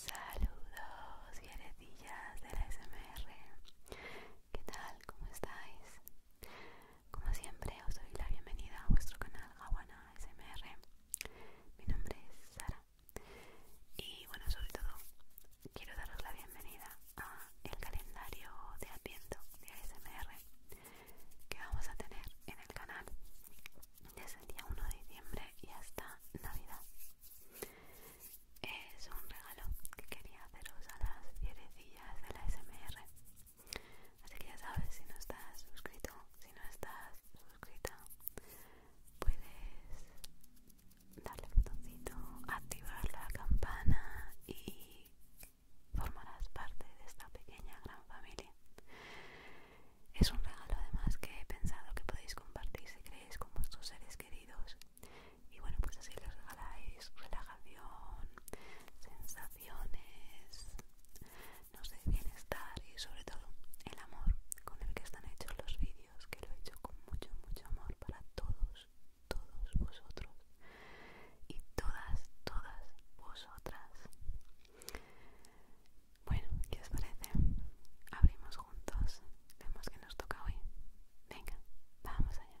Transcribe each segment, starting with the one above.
Saludos heredillas de la SMR ¿Qué tal? ¿Cómo estáis? Como siempre os doy la bienvenida a vuestro canal Aguana SMR Mi nombre es Sara y bueno, sobre todo quiero daros la bienvenida a el calendario de Adviento de ASMR que vamos a tener en el canal desde el día 1 de diciembre y hasta navidad es un regalo que quería haceros a las fierecillas de la smr así que ya sabes si no estás suscrito si no estás suscrita puedes darle al botoncito activar la campana y formarás parte de esta pequeña gran familia es un regalo además que he pensado que podéis compartir si creéis con vuestros seres queridos. Y bueno, pues así les regaláis relajación, sensaciones, no sé, bienestar y sobre todo el amor con el que están hechos los vídeos, que lo he hecho con mucho, mucho amor para todos, todos vosotros y todas, todas vosotras. Bueno, ¿qué os parece? Abrimos juntos. Vemos que nos toca hoy. Venga, vamos allá.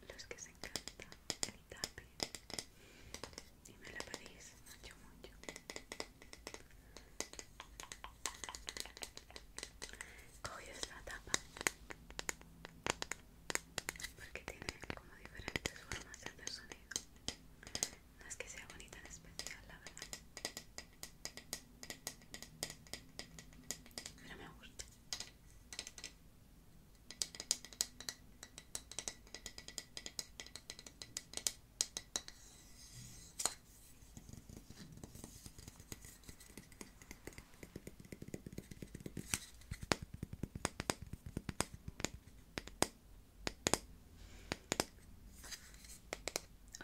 para los que se encanta el tapping y me lo pedís mucho mucho cogí la tapa porque tiene como diferentes formas de hacer sonido no es que sea bonita en especial la verdad pero me gusta.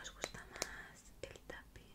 ¿Os gusta más el tapping?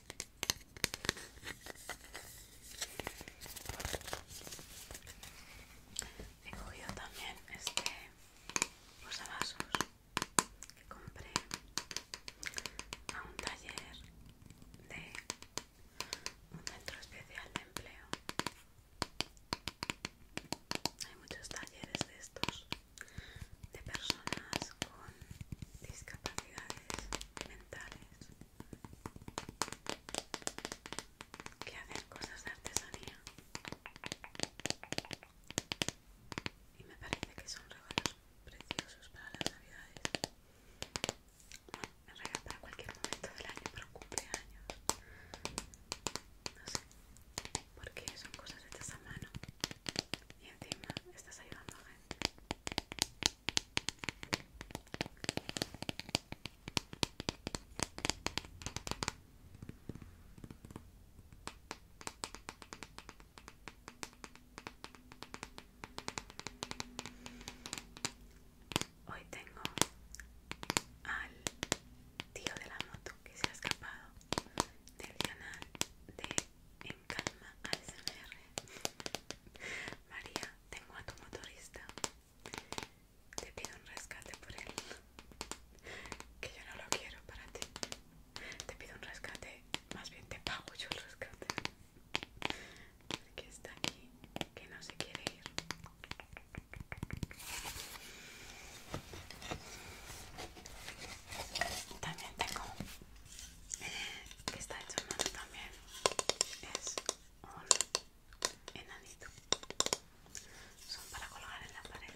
He cogido también este vasos que compré a un taller de un centro especial de empleo. Hay muchos talleres de estos de personas con discapacidades mentales que hacen cosas de artesanía y me parece que son regalos preciosos para las navidades bueno, en cualquier momento del año pero cumpleaños no sé porque son cosas hechas a mano y encima estás ayudando a gente. Hoy tengo al tío de la moto que se ha escapado del canal de calma ASMR. María, tengo a tu motorista. Te pido un rescate por él. Que yo no lo quiero para ti. Te pido un rescate, más bien te pago yo el rescate. Porque está aquí, que no se quiere ir. También tengo que está hecho en mano también es un enanito son para colgar en la pared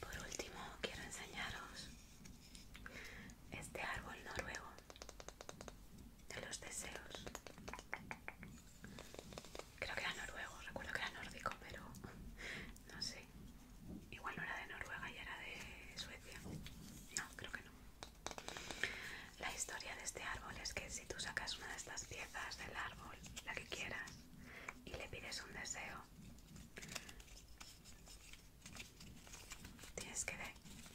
Por último, quiero enseñaros este árbol noruego de los deseos. Creo que era noruego, recuerdo que era nórdico, pero no sé. Igual no era de Noruega y era de Suecia. No, creo que no. La historia de este árbol es que si tú sacas una de estas piezas del árbol, la que quieras, y le pides un deseo, tienes que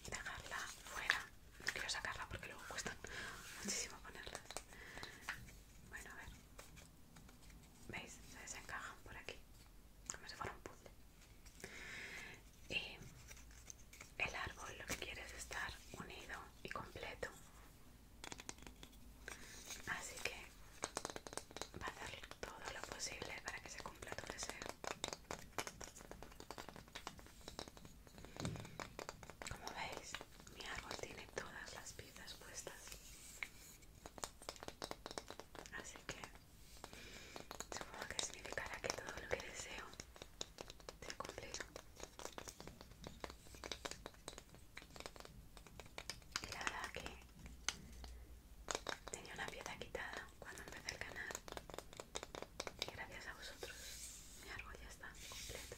dejarla fuera no quiero sacarla porque luego cuesta muchísimo ponerlas. Bueno, a ver. ¿Veis? Se desencajan por aquí. Como si fuera un puzzle. Y el árbol lo que quiere es estar unido y completo. Así que va a hacer todo lo posible para que se cumpla tu deseo. Como veis, mi árbol tiene todas las piezas puestas. Así que supongo que significará que todo lo que deseo se ha cumplido. Y la verdad que tenía una pieza quitada cuando empecé el canal. Y gracias a vosotros mi árbol ya está completo.